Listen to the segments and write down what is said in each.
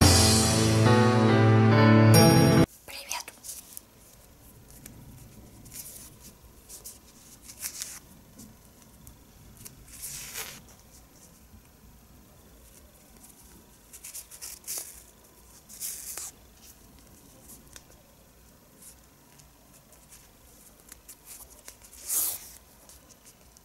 Привет.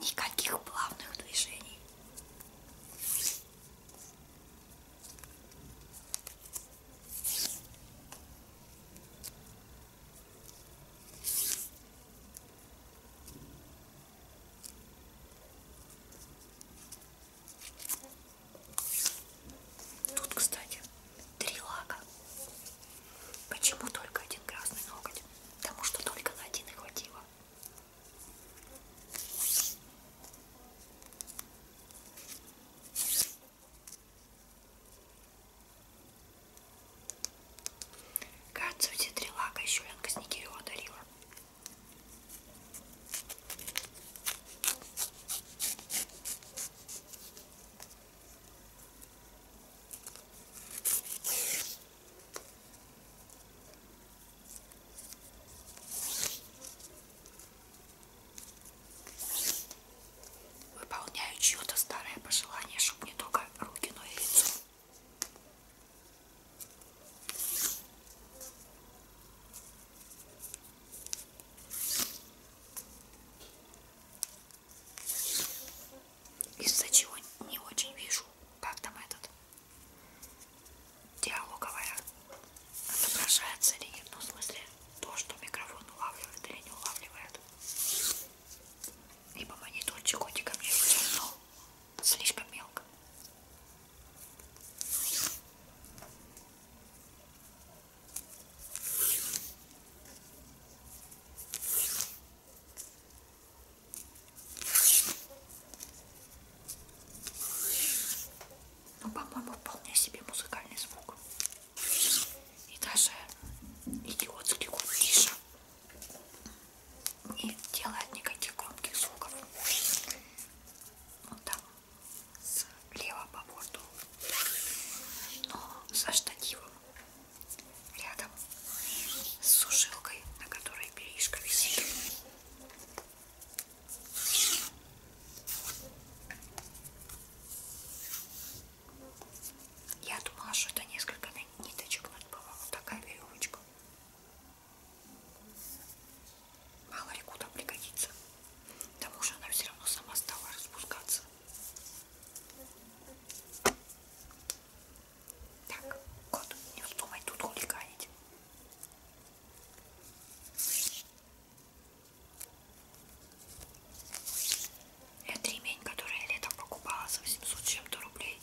Никаких плавных движений. Тут, кстати, три лака. Почему только один красный ноготь? Потому что только на один и хватило. Кажется, эти три лака еще Ленка Сникирева дарила. Выполняю чье-то старое пожелание, чтобы не только руки, но и лицо из-за чего не очень вижу, как там этот диалоговая отображается или нет, ну в смысле то, что микрофон улавливает или не улавливает. Ибо мониторчик котика мне вытянул слишком мелко. Ну, по-моему, вполне себе музыкальный звук. И даже идиотский куртиша не делает никаких громких звуков. Вот там слева по борту. Но со штативом рядом с сушилкой, на которой перишка висит. Я думала, что это несколько ниточек, но это была вот такая веревочка. Мало ли куда пригодится. К тому же она все равно сама стала распускаться. Так, кот, не вздумай тут хулиганить. Это ремень, который я летом покупала за 800 чем-то рублей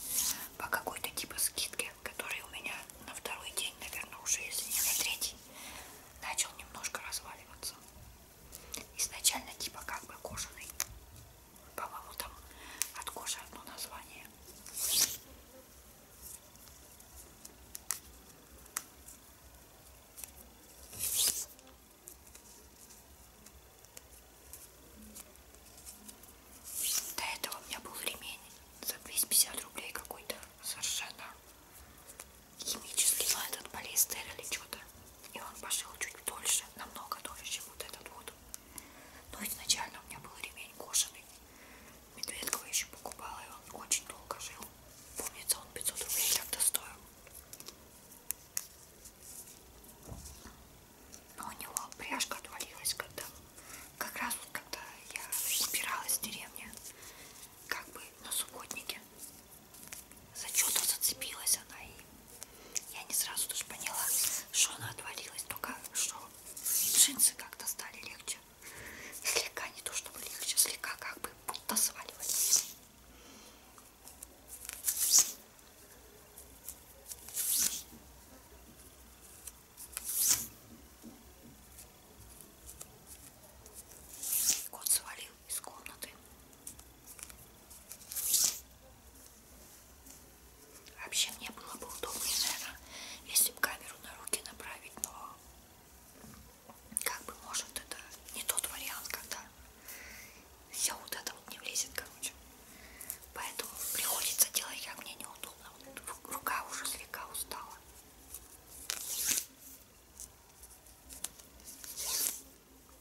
по какой-то типа скидке, который у меня на второй день, наверное, уже, если не на третий, начал немножко разваливаться изначально типа как бы кожаный по-моему там от кожи одно название до этого у меня был ремень за 250 рублей какой-то совершенно химический, но этот полиэстер или что-то и он пошел чуть дольше, намного дольше, чем вот этот вот. Но изначально у меня был ремень кожаный. Медведкова еще покупала, и он очень долго жил. Помнится, он 500 рублей тогда стоил. Но у него пряжка отвалилась, когда как раз вот когда я собиралась в деревне, как бы на субботнике, за что-то зацепилась она и я не сразу даже поняла, что она отвалилась, только что джинсы как-то стали легче. Слегка, не то чтобы легче, слегка как бы будто сваливались. Кот свалил из комнаты. Вообще мне было бы удобнее, наверное, если бы камеру на руки направить, но как бы может это не тот вариант, когда все вот это вот не влезет, короче. Поэтому приходится делать, как мне неудобно. Рука уже слегка устала.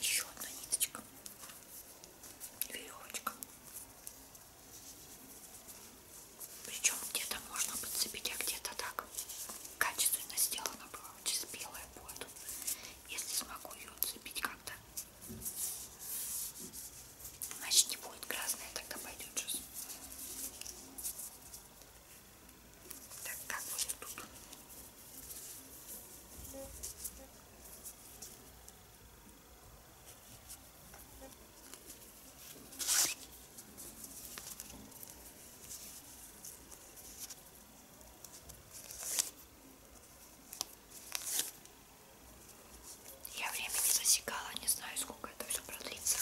Еще одна ниточка, веревочка. Причем где-то можно подцепить, а где-то так качественно сделано было. Вот здесь белая будет. Если смогу ее отцепить как-то. Значит не будет красная, тогда пойдет сейчас. Так, как будет тут? Я время не засекала, не знаю, сколько это все продлится.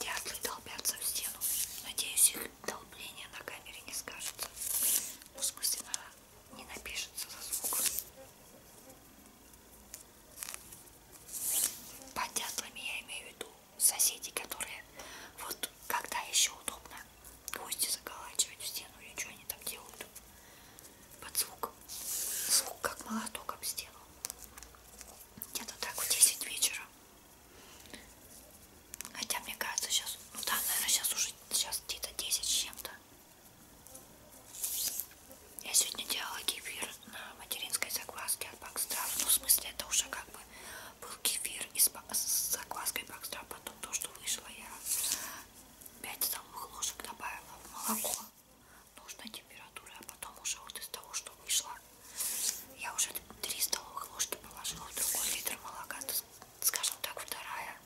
Дятлы долбятся в стену. Надеюсь, их долбление на камере не скажется. Ну, в смысле, на... не напишется за звук. Под дятлами я имею в виду соседи, которые... Вот когда еще удобно гвозди заколачивать в стену или что они там делают под звук. Звук как молоток об стену. Где-то так в 10 вечера. Хотя мне кажется сейчас, ну да, наверное, сейчас уже сейчас где-то 10 с чем-то. Я сегодня делала кефир на материнской закваске от Бакстра. Ну, в смысле, это уже как бы был кефир из, с закваской Бакстра, а потом потом то, что вышло, я 5 столовых ложек добавила в молоко нужной температуры, а потом уже вот из того, что вышло, я уже 3 столовых ложки положила в другой литр молока, скажем так, вторая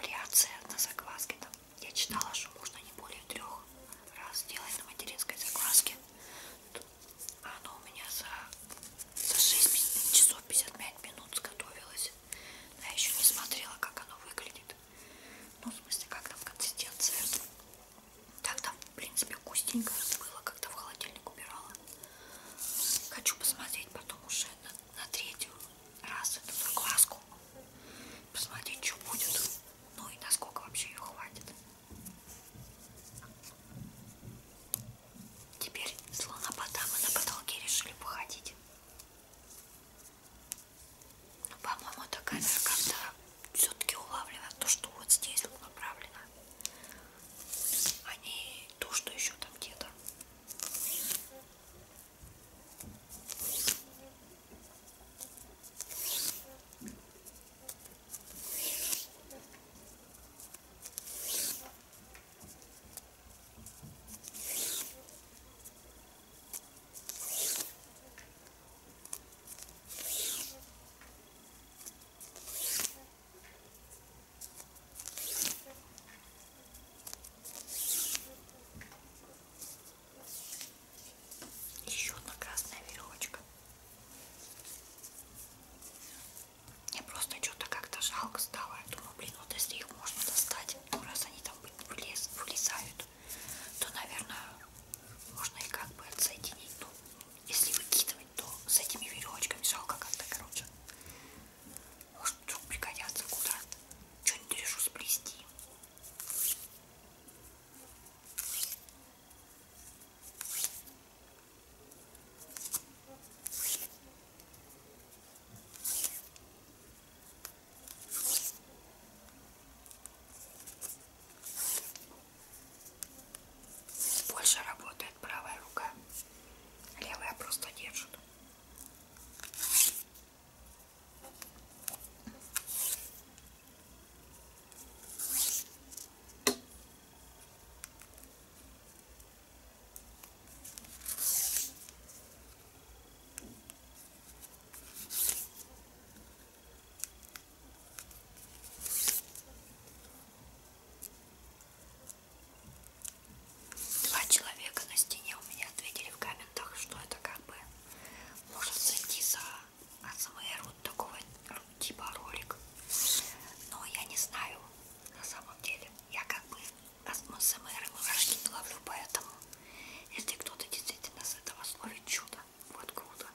вариация на закваске. Там я читала, что можно не более трех раз делать на материнской закваске. А оно у меня за за 6 часов 55 минут сготовилось. Но я еще не смотрела, как оно выглядит. Ну, в смысле, как там консистенция. Так там, в принципе, вкусненько было, когда в холодильник убирала. Хочу посмотреть потом уже на, на третью раз эту закваску. Посмотреть, что будет. Ну и насколько вообще ее хватит. Теперь слонопотамы на потолке решили походить. Ну, по-моему, эта камера как-то все-таки улавливает то, что вот здесь вот направлено, а не то, что еще там где-то. Еще одна красная веревочка. Мне просто что-то как-то жалко стало. Я думаю, блин, вот если их можно достать, ну раз они там вылез, вылезают, то, наверное, можно и как бы отсоединить. Ну, если выкидывать, то с этими веревочками жалко как-то, короче. Может, вдруг пригодятся куда-то. Что-нибудь решу сплести. Больше работает правая рука, левая просто держит. Два человека на стене у меня ответили в комментах, что это как бы может зайти за АСМР вот такого типа ролик. Но я не знаю на самом деле. Я как бы АСМР и мурашки не ловлю, поэтому если кто-то действительно с этого словит чудо, вот круто.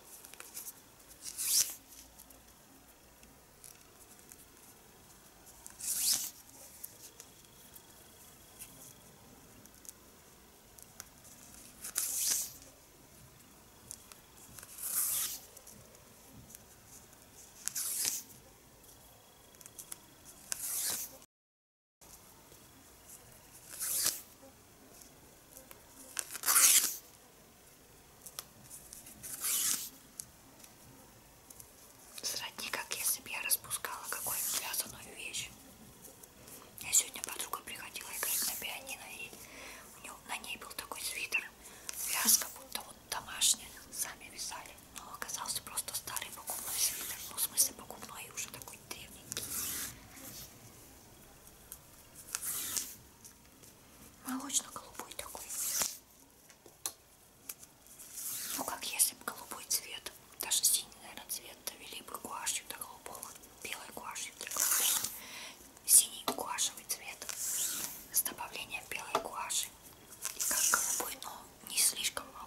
Сродни, как если бы я распускала какую-нибудь вязаную вещь. Я сегодня подруга приходила играть на пианино, и у нее, на ней был такой свитер, вязка, будто вот домашний, сами вязали, но оказался просто старый покупной свитер, ну в смысле покупной и уже такой древненький. Молочно-голубой такой. Ну как если бы голубой цвет, даже синий, наверное, цвет довели бы гуашью до голубого, белой гуашью до голубого, синий гуашевый цвет с добавлением белой гуаши как голубой, но не слишком, а,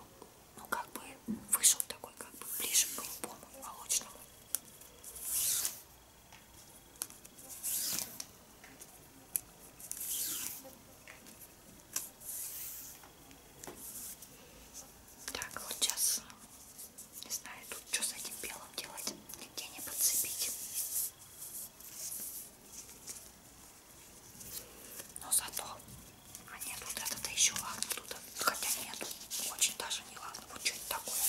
ну как бы вышел такой, как бы ближе к голубому, молочному. Так, вот сейчас не знаю, тут что с этим белым делать, нигде не подцепить. Но зато, а нет, вот это-то еще ладно тут, хотя нет, очень даже не ладно, вот что-нибудь такое.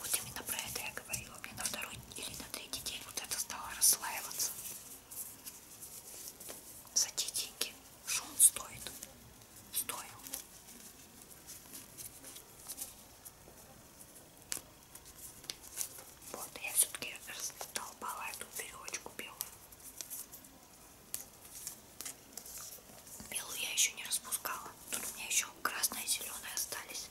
Вот именно про это я говорила, мне на второй или на третий день вот это стало расслаиваться. За те деньги, что он стоит, стоил. Вот, я все-таки раздолбала эту переводчику белую. Белую я еще не распускала. Тут у меня еще красная и зеленая остались.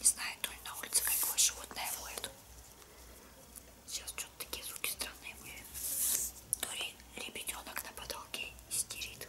Не знаю, то ли на улице какое животное воет. Сейчас что-то такие звуки странные были. То ли ребятенок на потолке истерит.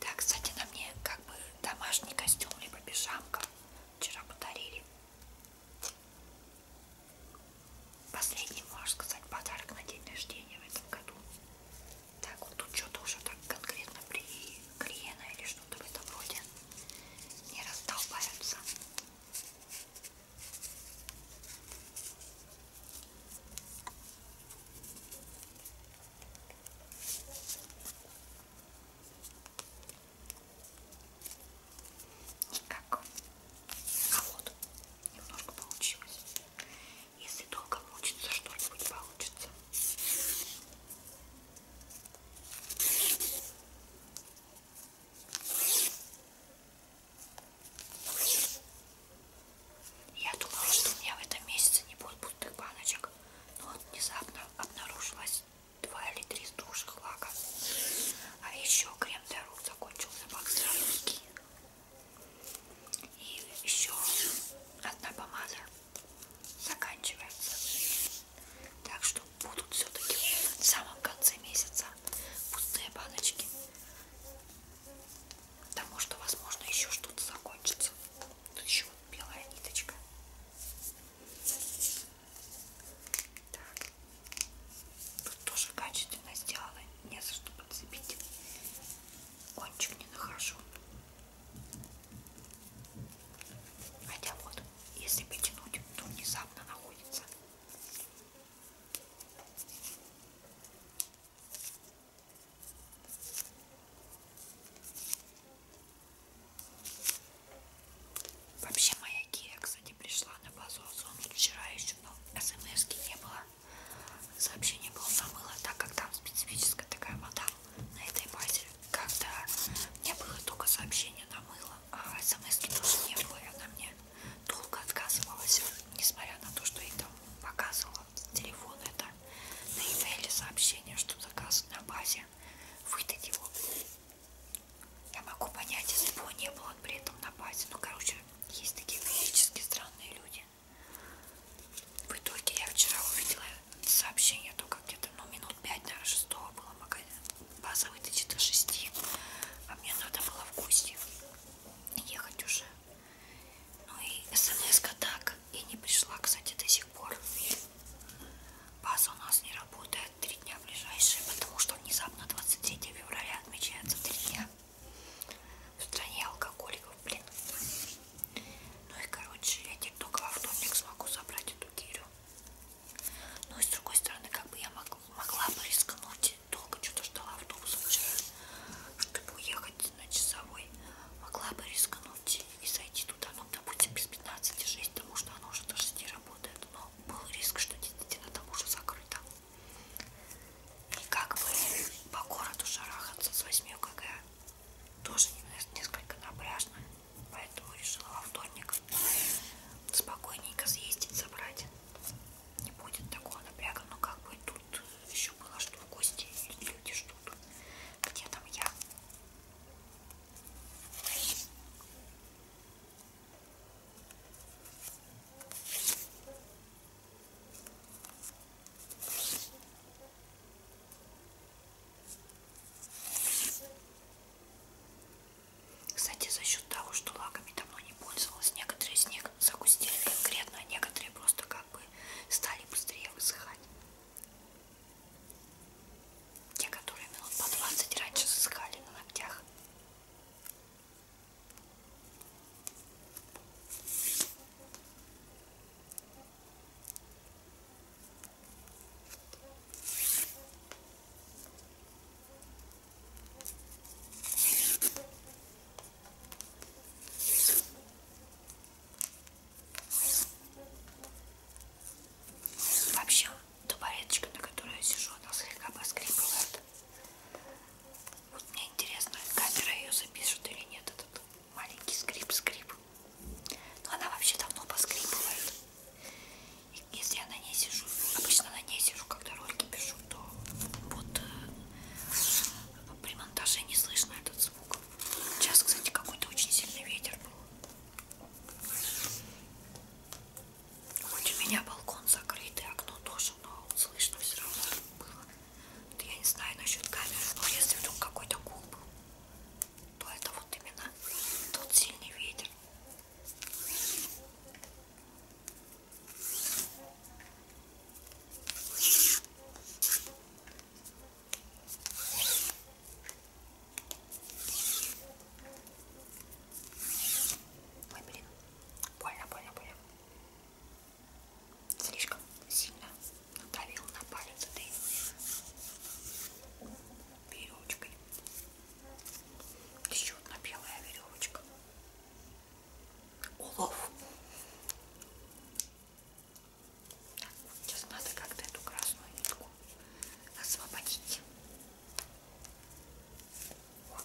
Да, кстати, на мне как бы домашний костюм, либо пижамка. Вчера подарили. Последний, можно сказать, подарок на день рождения в этом году. Так, вот тут что-то уже так конкретно приклеено или что-то в этом роде. Не раздолбаются. И как а вот немножко получилось. Если долго мучиться, что-нибудь получится. Я думала, что у меня в этом месяце не будет пустых баночек. Но вот внезапно обнаружилось два или три сдувших лака. А еще крем для рук закончился баксовский. И еще одна помада заканчивается. Так что будут все-таки в самом конце месяца пустые баночки. Потому что, возможно, еще что-то закончится. Тут еще белая ниточка. Так. Тут тоже качественно сделано. Не за что подцепить. Кончик не нахожу. Хотя вот, если потянуть, то внезапно находится. Вообще моя Кия, кстати, пришла на базу Озон вчера еще, но смс не было, сообщений было намыло, так как там специфическая такая вода на этой базе, когда мне было только сообщение намыло, а смс тоже не было, и она мне долго отказывалась, несмотря на то, что ей там показывала телефон это на e-mail сообщение, что заказ на базе можете выдать его. Я могу понять, если бы его не было, он при этом на базе. Ну, короче, есть такие физически странные люди. В итоге я вчера увидела сообщение только где-то, ну, минут 5, наверное, 6 было магазин. База выточит до 6, а мне надо было в гости ехать уже. Ну и смс-ка так и не пришла, кстати, до сих пор. База у нас не работает три дня ближайшие, потому что внезапно 23 февраля отмечается три дня в стране алкоголиков, блин. Ну и, короче, я теперь только во вторник смогу забрать эту гирю. Ну и с другой стороны, как бы я мог, могла бы рискнуть, долго что-то ждала автобуса вчера, чтобы уехать на часовой, могла бы рискнуть и зайти туда, ну, допустим, без 15,6, потому что оно уже до 6 работает, но был риск, что действительно там уже закрыто. И как бы по городу шарахаться с 8 кг тоже несколько напряжно, поэтому решила во вторник спокойненько съездить, забрать. Не будет такого напряга, но как бы тут еще было что в гости, люди ждут. Где там я? Кстати, за счет того, что лаками давно не пользовалась, некоторые из них загустили конкретно, а некоторые просто как бы стали быстрее высыхать. Те, которые минут по 20 раньше засыхали на ногтях. Вообще, табуреточка, на которой я сижу, она слегка поскрипывает. Вот мне интересно, камера ее запишет или нет, этот маленький скрип-скрип. Но она вообще давно поскрипывает. И если я на ней сижу, обычно на ней сижу, когда ролики пишу, то вот э, при монтаже не слышно этот звук. Сейчас, кстати, какой-то очень сильный ветер был. Хоть у меня балкон закрытый, окно тоже, но слышно все равно было. Это я не знаю насчет камеры, но если вдруг какой-то гул был, то это вот именно тот сильный ветер. Ой, блин, больно, больно, больно. Слишком сильно надавил на палец этой веревочкой. Еще одна белая веревочка. Улов. Да, сейчас надо как-то эту красную нитку освободить. Вот.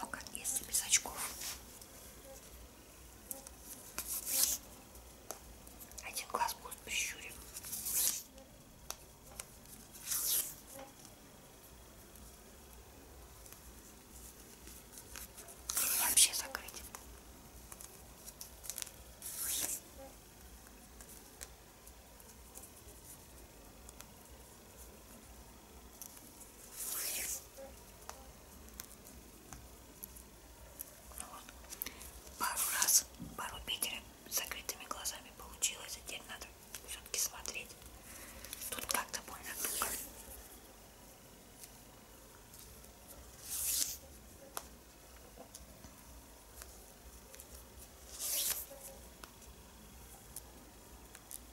Ну, как если без очков. Один глаз будет прищурен. Или вообще закрыть. Пару раз, пару петель с закрытыми глазами получилось, а теперь надо все-таки смотреть. Тут как-то больно туго.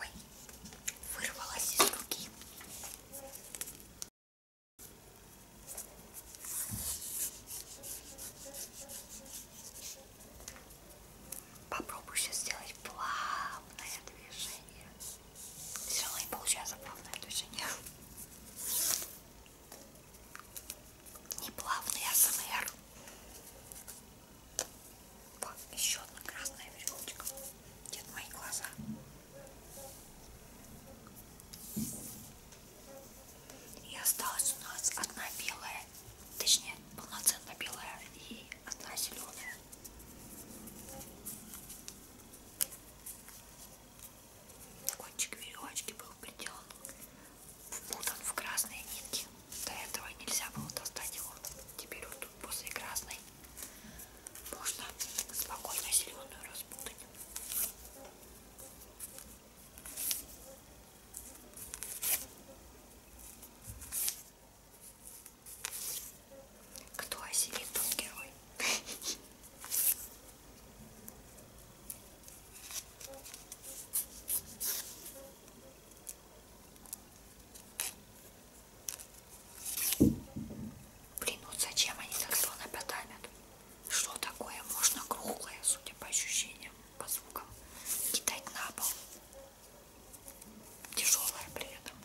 Ой, вырвалась из руки. Попробую сейчас сделать плавное движение. Все равно не получается плавное движение. Не плавный АСМР. Вот еще одна красная веревочка. Где-то мои глаза. И осталась у нас одна белая, точнее полноценно белая и одна зеленая. Кончик веревочки был приделан мотан в красные нитки. До этого нельзя было достать его. Теперь вот тут после красной можно спокойно зеленую распутать. Кто осилит, тот герой. Блин, вот зачем они так слона потамят? Что такое? Можно круглое, судя по ощущениям, по звукам, кидать на пол. Тяжелое при этом.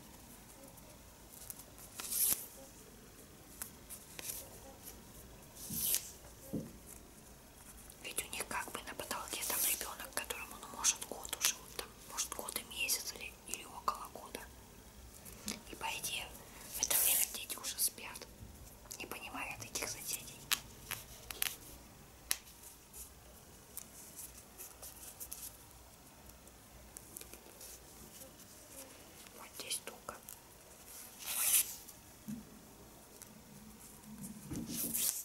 Ведь у них как бы на потолке там ребенок, которому, ну, может, год уже, там, может, год и месяц или, или около года. И по идее, в это время дети уже спят, не понимают этих соседей. Вот здесь туго. Ой.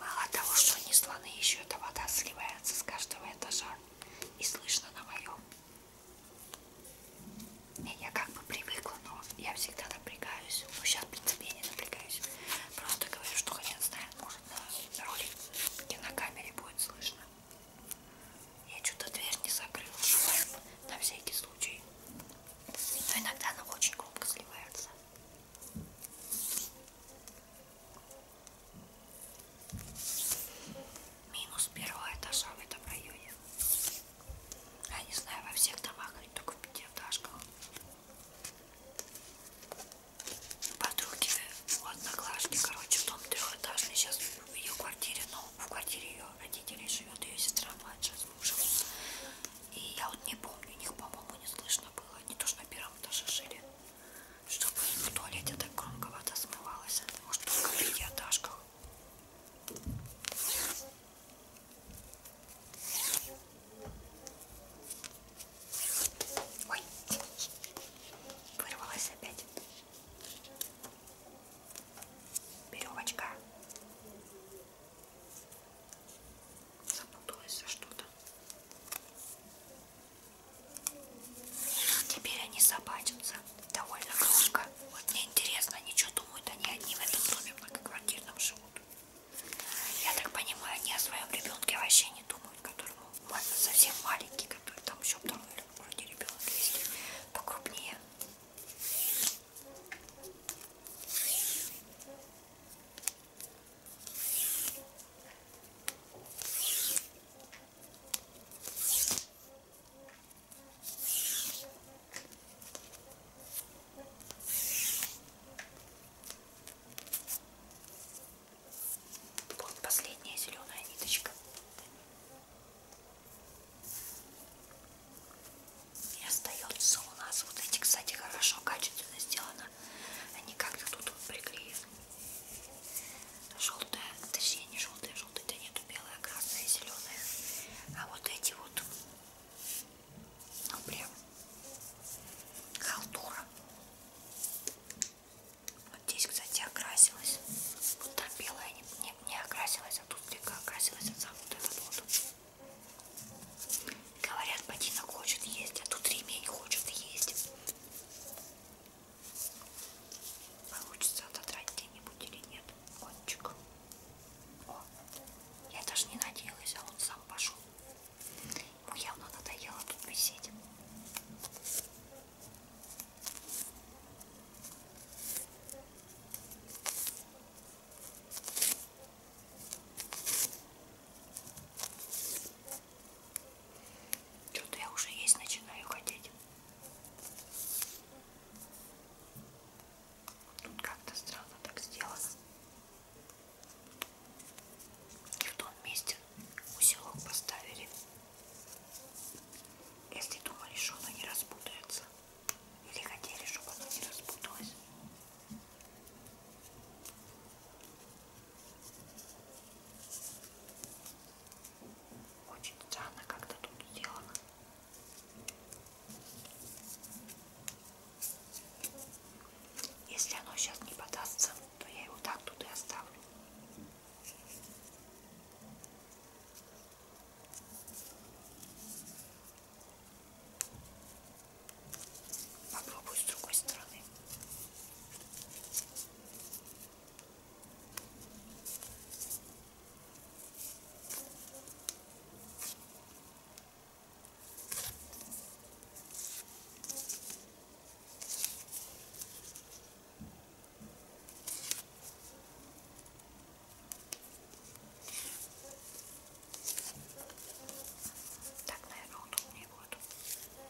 Мало того, что они слоны, еще эта вода сливается с каждого этажа и слышно на моем. И я как бы привыкла, но я всегда напрягаюсь. Ну, сейчас, в принципе, я не напрягаюсь. Просто говорю, что хрен знает, может, на ролик кинокамере будет слышно. Я что-то дверь не закрыла, шумом, на всякий случай. Но иногда она очень громко сливается. Минус первого этажа в этом районе. Я не знаю, во всех домах или только в пятиэтажках. Подруги у одноклашки, короче, дом трехэтажный. Сейчас в ее квартире, но ну, в квартире ее родителей живет ее сестра младшая с мужем. И я вот не помню, у них, по-моему, не слышно было. Они тоже на первом этаже жили чтобы в туалете так громковато смывалась. Может, только в пятиэтажках. Ой, вырвалась опять. Веревочка. Запуталась за что-то. Теперь они собачатся довольно громко. Вот мне интересно, они что думают, они одни в этом доме многоквартирном живут. Я так понимаю, они о своем ребенке вообще не думают, которому можно совсем маленький, который там еще второй вроде ребенок есть, покрупнее. Вот последняя зеленая ниточка. И остается у нас вот эти, кстати, хорошо качественно сделаны удобно. Они как-то тут приклеены. Желтая, точнее не желтая, желтая, да нету белая, красная, зеленая. А вот эти вот, ну прям халтура. Вот здесь, кстати, окрасилась. Вот там белая не, не, не окрасилась, а тут слегка окрасилась, а сам вот этот вот. Говорят, ботинок хочет есть, а тут ремень хочет есть. Получится отодрать где-нибудь или нет кончик. О, я даже не надеялась, а он сам пошел. Ему явно надоело тут висеть. Что-то я уже есть начинаю хотеть. Тут как-то странно так сделано. И в том месте усилок поставили. Если думали, что оно не распутается. Или хотели, чтобы оно не распуталось. Очень странно как-то тут сделано. Если оно сейчас не подастся, то я его так тут и оставлю. Попробую с другой стороны. Так, наверное, удобнее будет.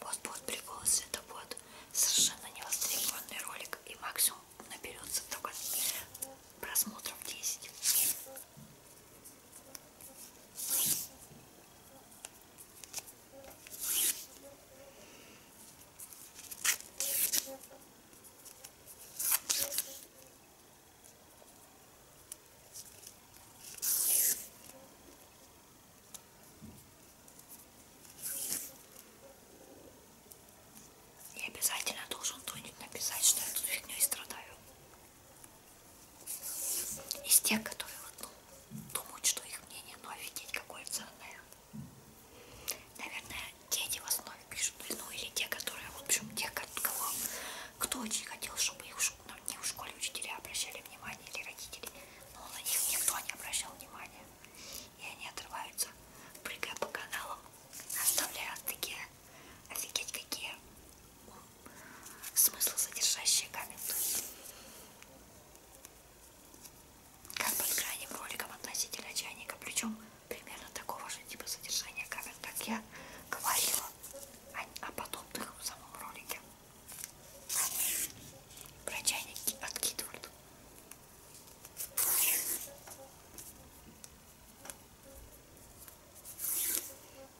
Вот будут приколы с это будет совершенно невостребованный ролик и максимум наберется только просмотров 10. И обязательно должен кто-нибудь написать, что я тут фигней страдаю. Из тех, которые вот, ну, думают, что их мнение, ну офигеть, какое ценное. Наверное, дети в основе пишут, ну или те, которые, в общем, те, кого кто очень хотел, чтобы их на них ну, в школе учителя обращали внимание или родители, но на них никто не обращал внимания. И они отрываются, прыгая по каналам, оставляя такие, офигеть какие смыслы содержащие комменты. Как под крайним роликом относительно чайника, причем примерно такого же типа содержания камер, как я говорила о, о подобных в самом ролике. Про чайники от Китвард.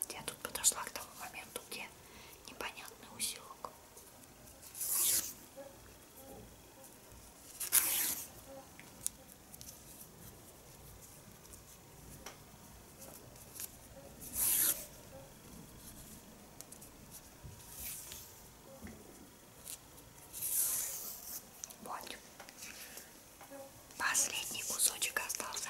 Я тут подошла к тому моменту, где непонятный усилок. Вот. Последний кусочек остался.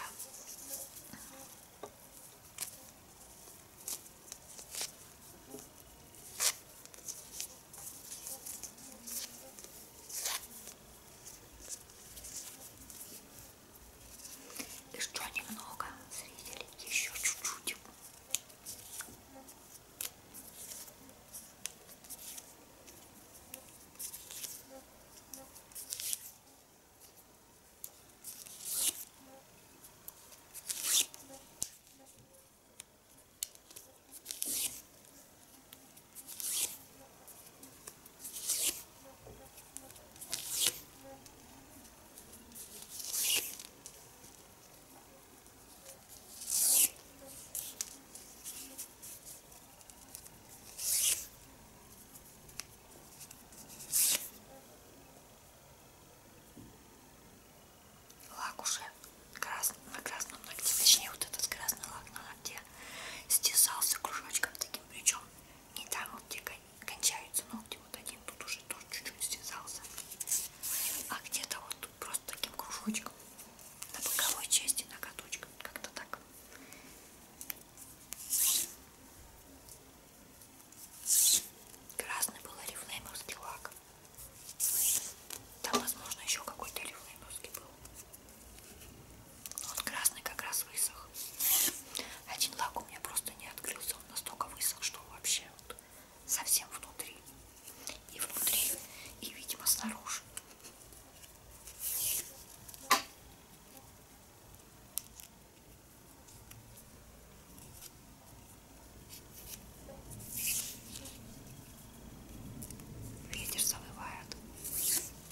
Еще немного, зрители, еще чуть-чуть. Лак уже красный, на красном ногте, точнее вот этот красный лак на где стесался кружочком таким причем не там вот где кончаются ногти вот один тут уже тоже чуть-чуть стесался а где-то вот тут просто таким кружочком на боковой части ноготочком как-то так красный был орифлеймовский лак там возможно еще какой-то орифлеймовский был вот красный как раз высох. Один лак у меня просто не открылся. Он настолько высох, что вообще вот совсем внутри. И внутри, и, видимо, снаружи. Ветер завывает.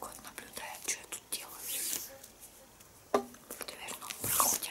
Кот наблюдает, что я тут делаю. Дверном проходе.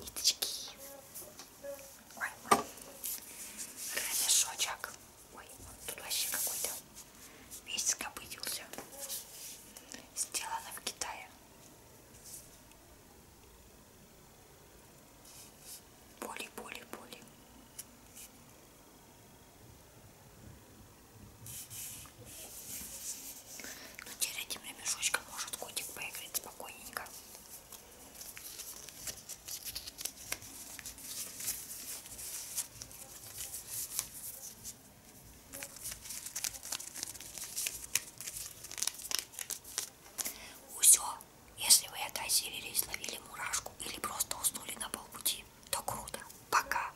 Ниточки. Ой, рамешочек. Ой, он тут вообще какой-то весь скопытился. Сделано в Китае. Боли, боли, боли. Но ну, теперь этим ремешочком может котик поиграть спокойненько. Усё, если вы это осилились, ловили мурашку или просто уснули на полпути, то круто. Пока!